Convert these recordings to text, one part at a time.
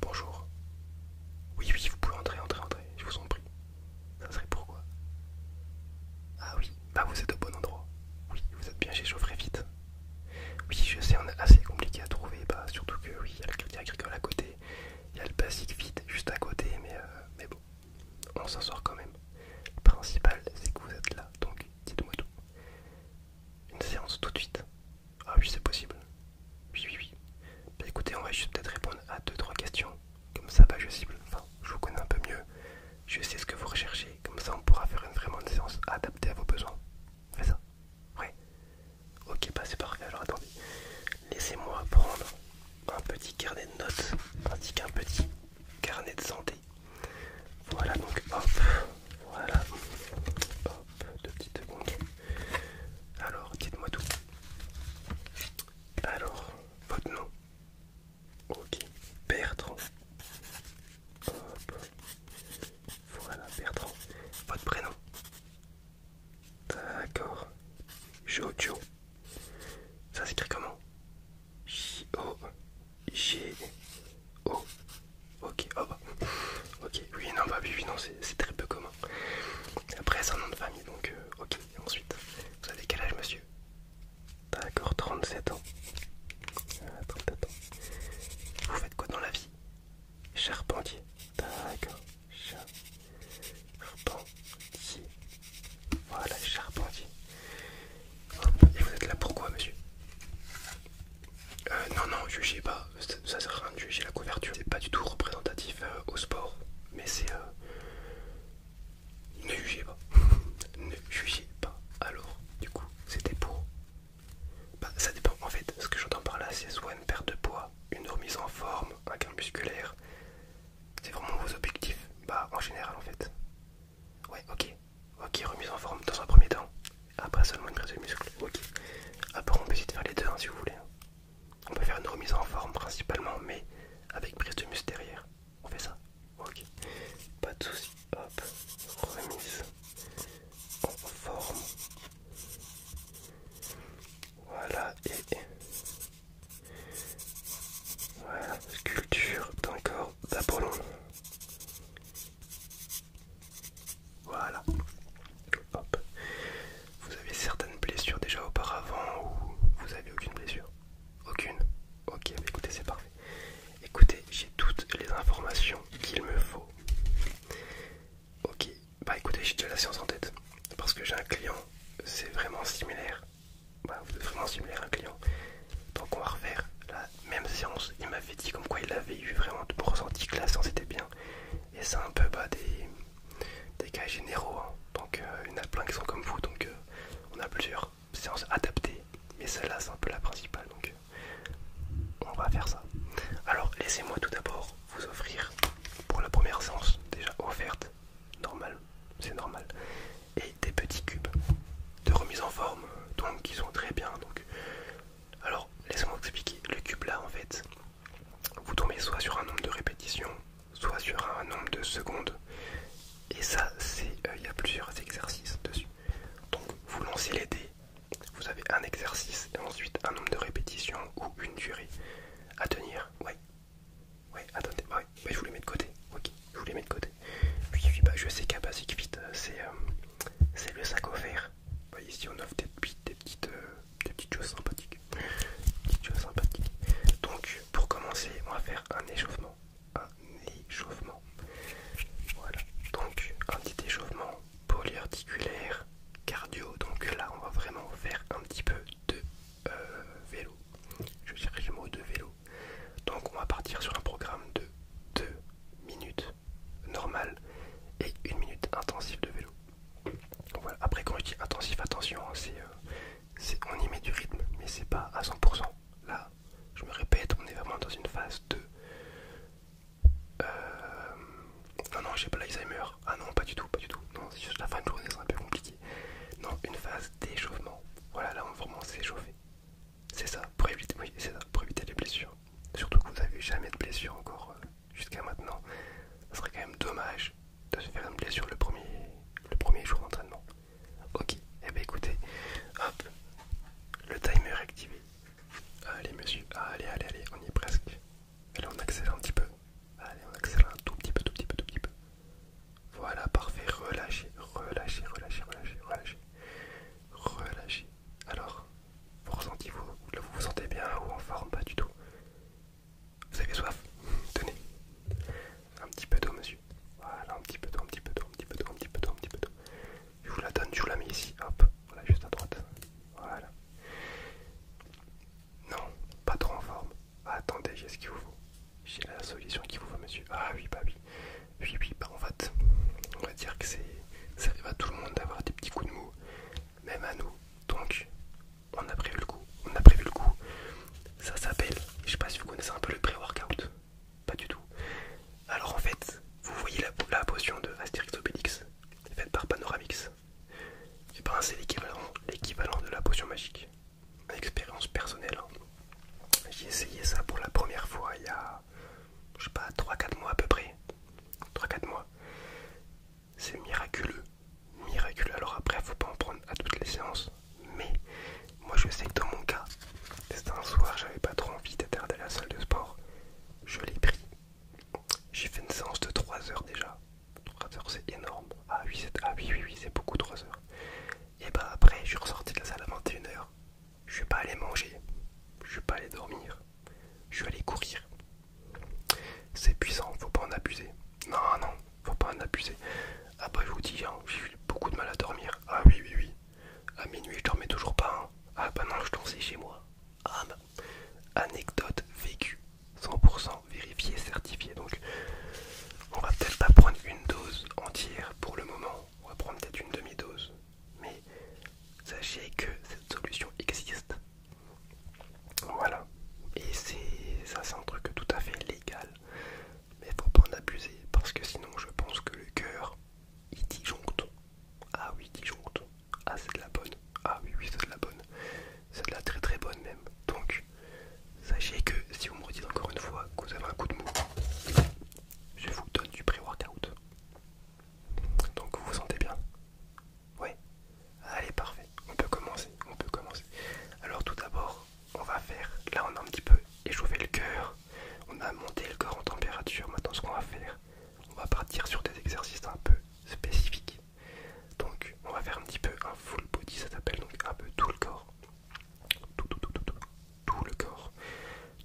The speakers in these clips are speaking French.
Bonjour. Oui, oui, vous pouvez entrer, entrer, entrer, je vous en prie. Ça serait pourquoi Ah oui, bah vous êtes au bon endroit. Oui, vous êtes bien chez Vite. Oui, je sais, on est assez compliqué à trouver, bah, surtout que oui, il y a le crédit agricole à côté, il y a le basique vite, juste à côté, mais, euh, mais bon, on s'en sort quand même. Le principal, c'est que vous êtes là, donc dites-moi tout. Une séance tout de suite, ah oui, c'est possible. Oui, oui, oui. Bah, écoutez, on va juste peut-être répondre à 2-3 questions. Comme ça, bah, je cible. Enfin, je vous connais un peu mieux. Je sais ce que vous recherchez. Comme ça, on pourra faire une, vraiment une séance adaptée à vos besoins. C'est ça. Ouais. Ok, bah c'est parfait. Alors attendez. Laissez-moi prendre un petit carnet de notes ainsi qu'un petit carnet de santé. Voilà donc hop, voilà, hop, Hop, deux petites secondes. Alors, dites-moi tout. Alors, votre nom. Ok, Bertrand. Hop. Voilà, Bertrand. Votre prénom. D'accord. Jojo. Ça s'écrit comment J-O. J-O. Ok, hop. Ok, oui, non, bah oui, non, c'est très peu commun. Après, c'est un nom de famille, donc euh, ok. Ensuite, vous avez quel âge, monsieur D'accord, 37 ah, ans. Vous faites quoi dans la vie Charpentier. D'accord, charpentier. Voilà, charpentier. Et vous êtes là pourquoi, monsieur euh, non, non, jugez pas, ça, sert à rien de juger la couverture. C'est pas du tout représentatif euh, au sport, mais c'est. Euh... Ne jugez pas. ne jugez pas. Alors, du coup, c'était pour. Bah, ça dépend. En fait, ce que j'entends par là, c'est soit une perte de poids, une remise en forme, un gain musculaire. C'est vraiment vos objectifs. Bah, en général, en fait. Ouais, ok. Ok, remise en forme dans un premier temps. Après seulement une prise de muscle. Ok. Après on peut essayer de faire les deux hein, si vous voulez. On peut faire une remise en forme principalement mais avec prise de muscle derrière. On fait ça. Ok. Pas de soucis. Hop. Remise en forme. Voilà et... Voilà, sculpture d'un corps d'Apollon. Voilà. Hop. Vous avez certaines blessures déjà auparavant ou vous avez aucune blessure Aucune Ok, bah écoutez, c'est parfait. Écoutez, j'ai toutes les informations qu'il me faut. Ok, bah écoutez, j'ai déjà la séance en tête. Parce que j'ai un client, c'est vraiment similaire. Bah, vous êtes vraiment similaire un client. Donc on va refaire la même séance. Il m'avait dit comme quoi il avait eu vraiment de ressenti que la séance était bien. Et c'est un peu des, cas généraux. Hein. Donc euh, il y en a plein qui sont comme vous. Donc euh, on a plusieurs séances adaptées. Mais celle-là, c'est un peu la principale. Donc euh, on va faire ça. Alors laissez-moi tout d'abord vous offrir pour la première séance déjà offerte. Normal, c'est normal. Et des petits cubes de remise en forme. Donc qui sont très bien. Donc alors, laissez-moi vous expliquer. Le cube là, en fait, vous tombez soit sur un nombre de répétitions, soit sur un nombre de secondes. Et ça, c'est euh, il y a plusieurs exercices dessus. Donc, vous lancez les dés. Vous avez un exercice et ensuite un nombre de répétitions ou une durée à tenir. Ouais, Oui, attendez, ouais, je vous les mets de côté. Ok, je vous les de côté. Puis, je sais qu'à Basic Fit, euh, euh, c'est le sac offert. Bah, ici, on offre des, des petites des petites choses sympathiques. choses sympathiques. Donc pour commencer, on va faire un échauffement. Un échauffement. Voilà. Donc un petit échauffement polyarticulaire cardio. Donc là on va vraiment faire un petit peu de euh, vélo. Je cherche le mot de vélo. Donc on va partir sur un programme de 2 minutes normales et 1 minute intensive de vélo. Voilà. Après, quand je dis intensif, attention, hein, euh, c'est on y met du rythme, mais c'est pas à 100%. Là, je me répète, on est vraiment dans une phase de. Euh... Non, non, j'ai pas l'Alzheimer. Ah non, pas du tout, pas du tout. Non, c'est juste la fin de journée, c'est un peu compliqué. Non, une phase d'échauffement. Voilà, là, on vraiment s'échauffer. C'est ça, pour éviter, les blessures. Surtout que vous n'avez jamais de blessures encore euh, jusqu'à maintenant, ce serait quand même dommage de se faire une blessure le premier, le premier jour d'entraînement. Ok, et eh bien écoutez, hop, le timer activé. Allez monsieur, allez, allez, allez, on y est presque. Allez, on accélère un petit peu. Allez, on accélère un tout petit peu, tout petit peu, tout petit peu. Voilà, parfait, relâchez, relâchez, relâchez, relâchez, relâchez, relâchez. Alors, vous ressentez, vous, vous vous sentez bien ou en forme, pas du tout. Vous avez soif Tenez. Un petit peu d'eau, monsieur. Voilà, un petit peu d'eau, un petit peu d'eau, un petit peu d'eau, un petit peu d'eau, un petit peu d'eau. Je vous la donne, je vous la mets ici, hop. Voilà, juste à droite. Voilà. Non, pas trop en forme. Attendez, j'ai ce qu'il vous faut. J'ai la solution qu'il vous faut, monsieur. Ah oui, bah oui. Oui, oui, bah en fait, on va dire que c'est... Ça arrive à tout le monde d'avoir des petits coups de mou, même à nous. Donc, on a prévu le coup. On a prévu le coup. Ça s'appelle, je sais pas si vous connaissez un peu le pré-workout. Pas du tout. Alors en fait, vous voyez la, potion de Astérix Obélix, faite par Panoramix. ben c'est l'équivalent de la potion magique. expérience personnelle. Hein. J'ai essayé ça pour la première fois il y a, je sais pas, 3-4 mois à peu près. 3-4 mois. C'est miraculeux. Miraculeux. Alors après, faut pas en prendre à toutes les séances. Mais moi je sais que dans mon cas, c'était un soir, j'avais pas trop envie d'attarder à la salle de sport. Je l'ai pris. J'ai fait une séance de 3 heures déjà. 3 heures c'est énorme. Ah oui, c'est ah beaucoup 3 heures. Et bah après, je suis ressorti de la salle à 21h. Je suis pas allé manger. Je suis pas allé dormir. Je suis allé courir. C'est puissant, faut pas en abuser. Non, non, faut pas en abuser. Ah bah je vous dis, hein, j'ai eu beaucoup de mal à dormir. Ah oui, oui, oui. À minuit, je dormais toujours pas. Hein. Ah bah non, je dansais chez moi. Ah, bah. Anecdote vécue. 100% vérifiée, certifiée. Donc, on va peut-être pas prendre une dose entière pour le moment. On va prendre peut-être une demi-dose. Mais sachez que cette solution existe. Voilà. Et c'est ça c'est un truc tout à fait légal. Mais faut pas en abuser parce que sinon je pense que le cœur il disjoncte. Ah oui disjoncte. Ah c'est de la bonne. Ah oui oui c'est de la bonne. C'est de la très très bonne même. Donc sachez que si vous me redites encore une fois que vous avez un coup de mou, je vous donne du pré-workout. Donc vous vous sentez bien Ouais. Allez, parfait. On peut commencer. On peut commencer. Alors tout d'abord, on va faire. Là, on a un petit peu échauffé le cœur. On a monté le corps en température. Maintenant, ce qu'on va faire, on va partir sur des exercices un peu spécifiques. Donc, on va faire un petit peu un full body. Ça s'appelle donc un peu tout le corps. Tout, tout, tout, tout, tout, le corps.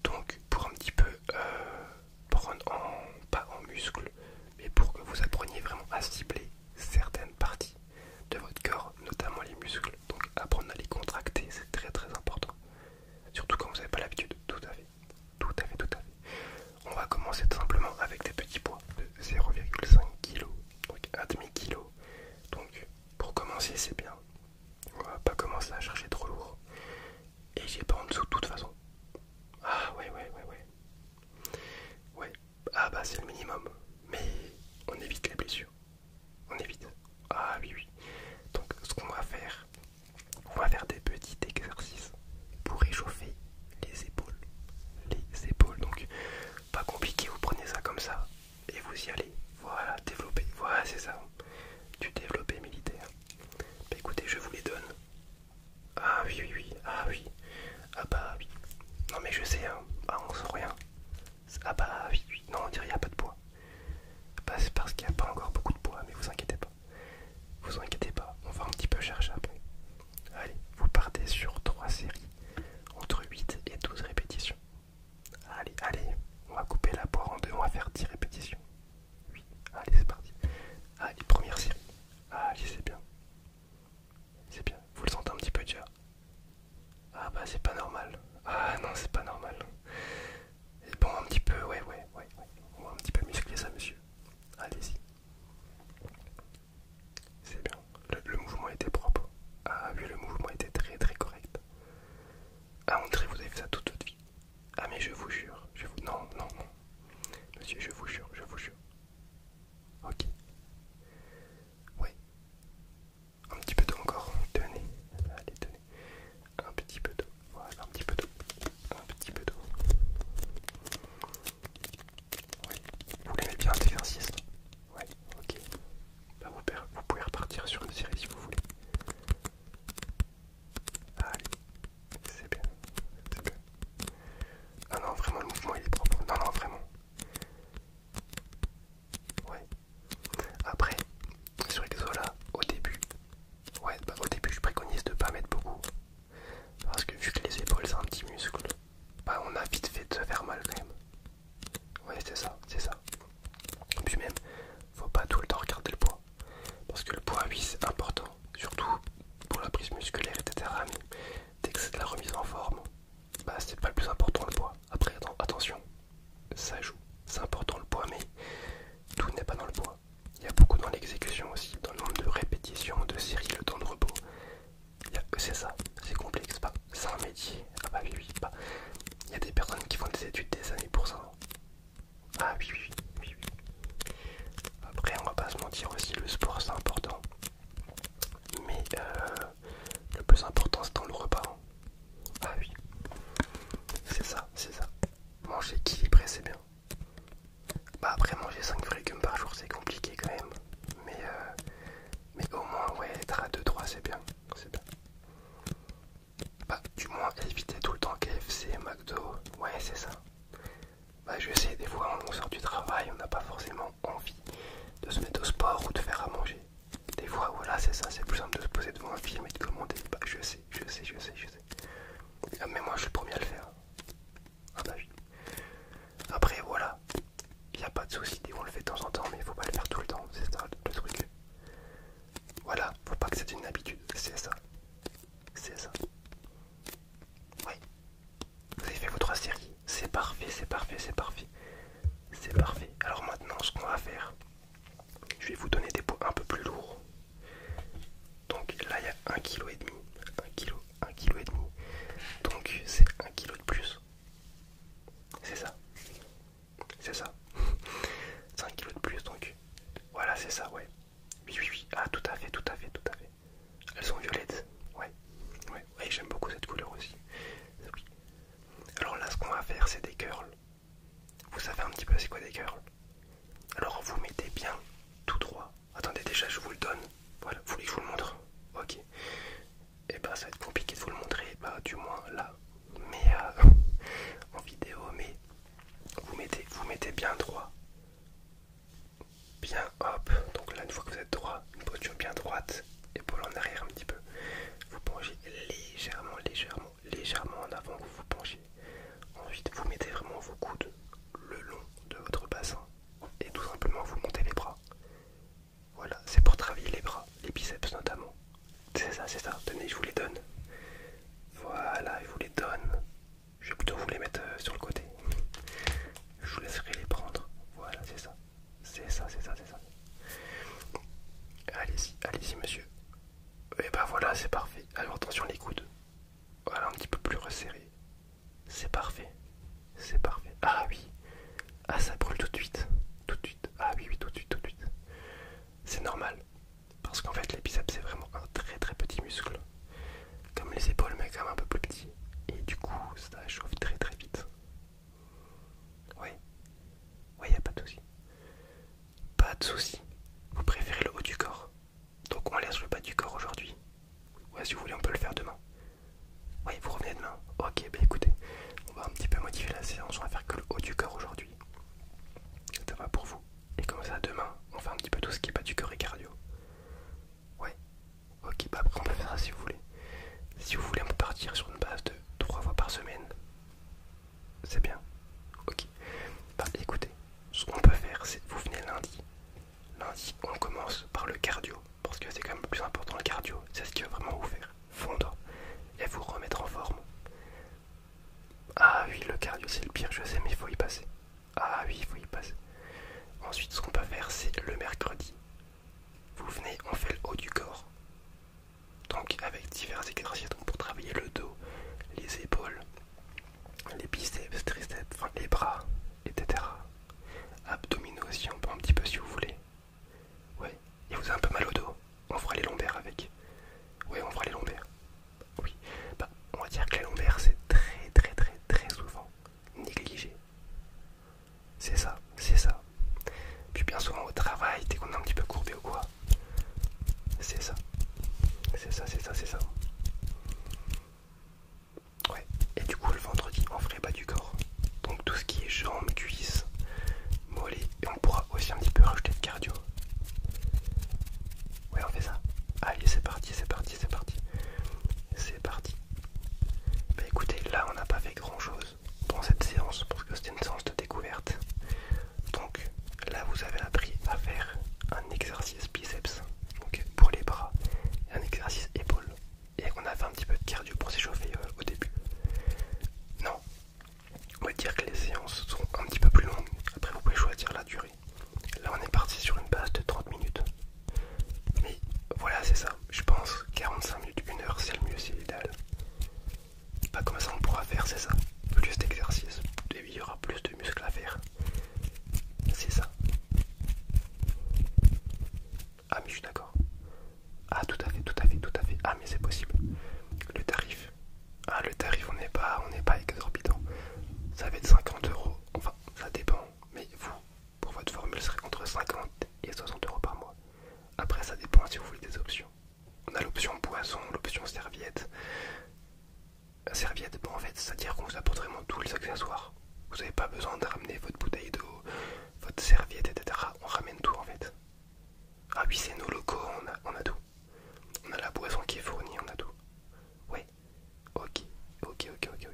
Donc, pour un petit peu euh, prendre en, pas en muscle, mais pour que vous appreniez vraiment à cibler certaines parties de votre corps, notamment les muscles. Donc apprendre à les contracter, c'est très très important. Surtout quand vous n'avez pas l'habitude, tout à fait. Tout à fait, tout à fait. On va commencer tout simplement avec des petits poids de 0,5 kg, donc 1,5 kg. Donc pour commencer, c'est bien. On va pas commencer à chercher trop lourd. Et j'ai pas en dessous de toute façon. Ah ouais, ouais, ouais, ouais. Ouais, ah bah c'est le minimum. Mais on évite les blessures. On évite. Ah oui, oui. Donc ce qu'on va faire, on va faire des petits exercices pour réchauffer les épaules. Les épaules, donc pas compliqué, vous prenez ça comme ça et vous y allez. Voilà, développer. Voilà, c'est ça. Du développé militaire. Bah, écoutez, je vous les donne. Ah oui, oui, oui, ah oui. Ah bah oui. Non mais je sais, hein. ah on rien. Ah bah oui, Non on dirait qu'il a pas de poids, Bah, c'est parce qu'il n'y a pas encore beaucoup de poids, mais vous inquiétez pas. Vous inquiétez pas, on va un petit peu chercher après. Allez, vous partez sur trois séries, entre 8 et 12 répétitions. Allez, allez, on va couper la poire en deux, on va faire 10 répétitions. Allez, c'est parti. Allez, première série. Allez, c'est bien. C'est bien. Vous le sentez un petit peu déjà Ah bah c'est pas normal. Ah non, c'est pas normal. Et bon, un petit peu, ouais, ouais, ouais, On va un petit peu muscler ça, monsieur. Allez-y. C'est bien. Le, mouvement était propre. Ah oui, le mouvement était très très correct. Ah, on dirait vous avez fait ça toute votre vie. Ah mais je vous jure, je vous... Non, non, non. Monsieur, je vous jure, je vous jure. Ok. Oui. Un petit peu d'eau encore. Tenez. Allez, tenez. Un petit peu d'eau. Voilà, un petit peu d'eau. Un petit peu d'eau. Vous l'aimez bien cet exercice Ouais, ok. Bah, vous, vous pouvez repartir sur une série si vous voulez. Allez, c'est bien, c'est bien. Ah non, vraiment, le mouvement il est propre. Non, non, vraiment. Ouais. Après, sur là au début, ouais, bah, au début, je préconise de pas mettre beaucoup. Parce que vu que les épaules c'est un petit muscle, bah on a vite fait de se faire mal quand même. Ouais, c'est ça, c'est ça. Et puis même, faut pas tout le temps regarder le poids. Parce que le poids, oui, c'est important surtout pour la prise musculaire, etc. Mais dès que c'est de la remise en forme, bah c'est pas le plus important le poids. Après, attention, ça joue, c'est important le poids, mais tout n'est pas dans le poids. Il y a beaucoup dans l'exécution aussi, dans le nombre de répétitions, de séries, le temps de repos. C'est ça, c'est complexe, pas c'est un métier. Ah bah, bah Il y a des personnes qui font des études des années pour ça. Hein. Ah après, on va pas se mentir aussi, le sport c'est important. Mais euh, le plus important c'est dans le repas. Hein. Ah oui, c'est ça, c'est ça. Manger équilibré c'est bien. Bah après manger 5 légumes par jour c'est compliqué quand même. Mais, euh, mais au moins ouais être à 2-3 c'est bien. C'est bien. Bah du moins éviter tout le temps KFC, McDo. Ouais c'est ça. Bah, je sais, des fois on sort du travail, on n'a pas forcément envie de se mettre au sport ou de faire à manger. Des fois, voilà, c'est ça, c'est plus simple de se poser devant un film et de commander. Bah, je sais, je sais, je sais, je sais. Ah, mais moi, je suis le premier à le faire. Ah, bah, Après, voilà, il n'y a pas de souci, on le fait de temps en temps, mais il faut pas le faire tout le temps, c'est ça le truc. Voilà, faut pas que c'est une habitude, c'est ça. C'est ça. Oui, vous avez fait vos trois séries. C'est parfait, c'est parfait, c'est parfait. C'est parfait. Alors maintenant, ce qu'on va faire, je vais vous donner des poids un peu plus lourds. Donc là, il y a 1,5 kg. 1 kg, et kg. Donc c'est 1 kg de plus. C'est ça. C'est ça. un kg de plus, donc. Voilà, c'est ça, ouais. Oui, oui, oui. Ah, tout à fait, tout à fait, tout à fait. Elles sont violettes. Ouais, ouais, j'aime beaucoup cette couleur aussi. Alors là, ce qu'on va faire, c'est des curls. Vous savez un petit peu c'est quoi des curls Alors vous mettez bien tout droit. Attendez, déjà je vous le donne. Voilà, vous voulez que je vous le montre Ok. Et eh bah ben, ça va être compliqué de vous le montrer, bah du moins là. Mais euh, en vidéo, mais vous mettez, vous mettez bien droit bien hop. Donc là, une fois que vous êtes droit, une posture bien droite, épaules en arrière un petit peu. Vous penchez légèrement, légèrement, légèrement en avant que vous vous penchez. Ensuite, vous mettez vraiment vos coudes le long de votre bassin et tout simplement vous montez les bras. Voilà, c'est pour travailler les bras, les biceps notamment. C'est ça, c'est ça. Tenez, je vous les donne. Voilà, je vous les donne. Je vais plutôt vous les mettre euh, sur le côté. Je vous laisserai les prendre. Voilà, c'est ça. C'est ça, c'est ça, c'est ça. Allez-y, allez-y, monsieur. Et eh ben voilà, c'est parfait. Alors attention les coudes. Voilà, un petit peu plus resserré. C'est parfait. C'est parfait. Ah oui. Ah, ça brûle tout de suite. Tout de suite. Ah oui, oui, tout de suite, tout de suite. C'est normal. Parce qu'en fait, les c'est vraiment un très très petit muscle comme les épaules mais quand même un peu plus petit et du coup ça chauffe très très vite ouais ouais y a pas de souci pas de souci vous préférez le haut du corps donc on laisse le bas du corps aujourd'hui ouais si vous voulez on peut le faire demain oui vous revenez demain ok bah écoutez on va un petit peu modifier la séance on va faire que le haut du corps aujourd'hui ça va pour vous et comme ça, demain, on fait un petit peu tout ce qui est pas du cœur et cardio. Ouais. Ok, bah après on peut faire ça si vous voulez. Si vous voulez, on peut partir sur une base de 3 fois par semaine. C'est bien. Ok. Bah écoutez, ce qu'on peut faire, c'est vous venez lundi. Lundi, on commence par le cardio. Parce que c'est quand même le plus important le cardio. C'est ce qui va vraiment vous faire fondre et vous remettre en forme. Ah oui, le cardio c'est le pire, je sais, mais il faut y passer. Ah oui, il faut y passer. Ensuite, ce qu'on peut faire, c'est le mercredi. Vous venez, on fait le haut du corps. Donc avec divers exercices donc pour travailler le dos, les épaules, les biceps, triceps, les bras, etc. Abdominaux aussi, on peut un petit peu si vous voulez. Ouais, et vous avez un peu mal au dos, on fera les lombaires avec. Ouais, on fera les lombaires oui, bah, on va dire que la lombaire c'est très très très très souvent négligé. C'est ça, c'est ça. Puis bien souvent au travail, dès qu'on est un petit peu courbé ou quoi. C'est ça. C'est ça, c'est ça, c'est ça. Ouais. Et du coup le vendredi, on ferait pas du corps. Donc tout ce qui est jambes, cuisses, mollets, et on pourra aussi un petit peu rajouter de cardio. Ouais, on fait ça. Allez, c'est parti, c'est parti, c'est parti. C'est parti. Bah écoutez, là on n'a pas fait grand chose dans cette séance parce que c'était une séance de découverte. Donc là vous avez appris à faire un exercice biceps donc pour les bras et un exercice épaule. Et on a fait un petit peu de cardio pour s'échauffer euh, au début. Non, on va dire que les séances sont un petit peu plus longues. Après vous pouvez choisir la durée. Là on est parti sur une base de 30 minutes. Mais voilà c'est ça. Je pense 45 minutes, 1 heure c'est le mieux, c'est l'idéal. Pas comme ça on pourra faire, c'est ça. Plus d'exercices, et il y aura plus de muscles à faire. C'est ça. Ah mais je suis d'accord. Ah tout à fait, tout à fait, tout à fait. Ah mais c'est possible. Le tarif. Ah le tarif on n'est pas on n'est pas exorbitant. Ça va être 50 euros. Enfin ça dépend mais vous, pour votre formule, serait entre 50 et 60 euros par mois. Après, ça dépend si vous voulez des options. On a l'option boisson, l'option serviette. serviette, bon, en fait, c'est-à-dire qu'on vous apporte vraiment tous les accessoires. Vous n'avez pas besoin de ramener votre bouteille d'eau, votre serviette, etc. On ramène tout en fait. Ah oui, c'est nos locaux, on a, on a tout. On a la boisson qui est fournie, on a tout. Oui, Ok, ok, ok, ok,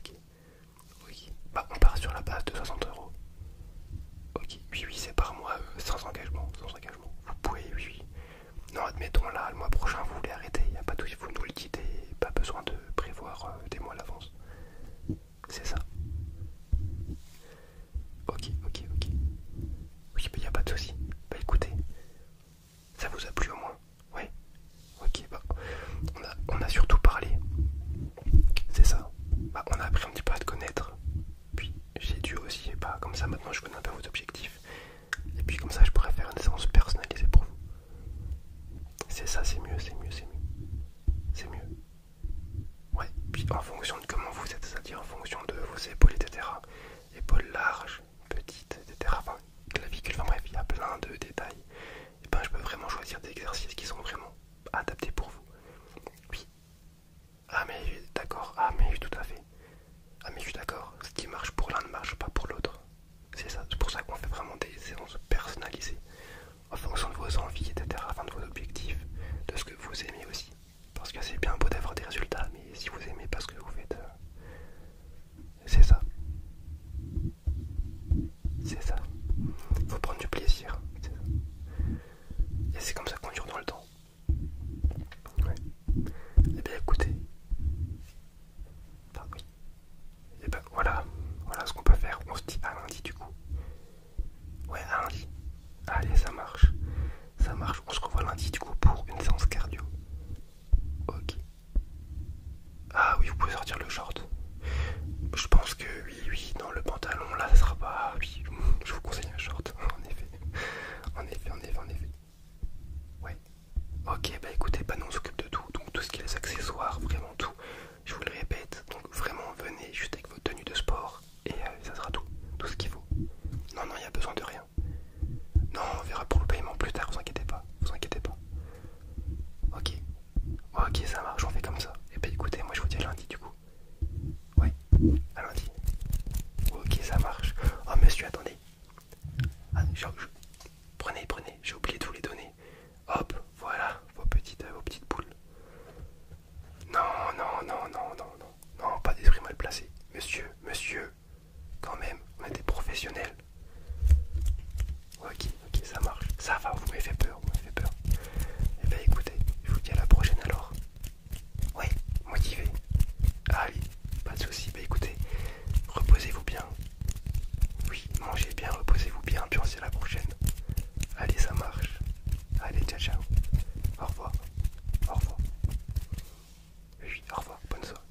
ok. Bah on part sur la base de 60 euros. Ok, oui, oui, c'est par mois, euh, sans engagement, sans engagement. Vous pouvez, oui, oui. Non, admettons là, le mois prochain, vous voulez arrêter, il n'y a pas de soucis, vous nous le dites pas besoin de prévoir euh, des mois à l'avance. C'est ça. Ok, ok, ok. Oui, mais il n'y a pas de souci. Bah écoutez, ça vous a plu au moins ouais. Ok, bah, on a, surtout parlé. C'est ça. Bah, on a appris un petit peu à te connaître. Puis j'ai dû aussi, bah, comme ça maintenant je connais pas vos objectifs. Et puis comme ça je pourrais faire une séance personnalisée pour vous. C'est ça, c'est mieux, c'est mieux, c'est mieux. C'est mieux. Ouais, puis en fonction de comment vous êtes, c'est-à-dire en fonction de vos épaules, etc. Épaules larges, petite, etc. Enfin, clavicule, vie bref, il y a plein de détails. Et eh ben, je peux vraiment choisir des exercices qui sont vraiment adaptés pour vous. Oui. Ah mais d'accord, ah mais tout à fait. Ah mais je suis d'accord, ce qui marche pour l'un ne marche pas pour l'autre. C'est ça, c'est pour ça qu'on fait vraiment des séances personnalisées en fonction de vos envies, etc., enfin de vos objectifs, de ce que vous aimez aussi. Parce que c'est bien beau d'avoir des résultats, mais si vous aimez pas ce que vous faites, euh, c'est ça. C'est ça. Faut prendre du plaisir. Et c'est comme ça qu'on dure dans le temps. Ouais. Et eh bien écoutez. Et eh ben voilà. Voilà ce qu'on peut faire. On se dit à lundi du coup. Ouais, à lundi. Allez, ça marche. Ça marche. On se revoit lundi du coup pour une séance cardio. Ok. Ah oui, vous pouvez sortir le short. Je pense que oui, oui, dans le pantalon là, ça sera pas. Ah oui, je vous conseille un short, en effet. En effet, en effet, en effet. Ouais. Ok, bah écoutez, bah nous on s'occupe de tout. Donc tout ce qui est les accessoires, vraiment tout. Je vous le répète, donc vraiment venez juste avec vos tenues de sport et euh, ça sera tout. Tout ce qu'il faut. Non, non, il n'y a besoin de rien. Non, on verra pour le paiement plus tard, vous inquiétez pas. Vous inquiétez pas. Ok. Ok, ça marche, on fait comme ça. Et eh ben écoutez, moi je vous dis à lundi du coup. Ouais, à lundi. Ok, ça marche. Oh monsieur, attendez. Ah, prenez, prenez, j'ai oublié de vous les donner. Hop, voilà, vos petites, euh, vos petites boules. Non, non, non, non, non, non, non, pas d'esprit mal placé. Monsieur, monsieur, quand même, on est des professionnels. Ok, ok, ça marche. Ça va, vous m'avez fait peur, vous m'avez fait peur. Et eh bah ben, écoutez, je vous dis à la prochaine alors. Ouais, motivé. Allez, pas de soucis. Bah écoutez, reposez-vous bien. Oui, mangez bien, reposez-vous bien, puis on se à la prochaine. Allez, ça marche. Allez, ciao, ciao. Au revoir. Au revoir. Oui, au revoir. Bonne soirée.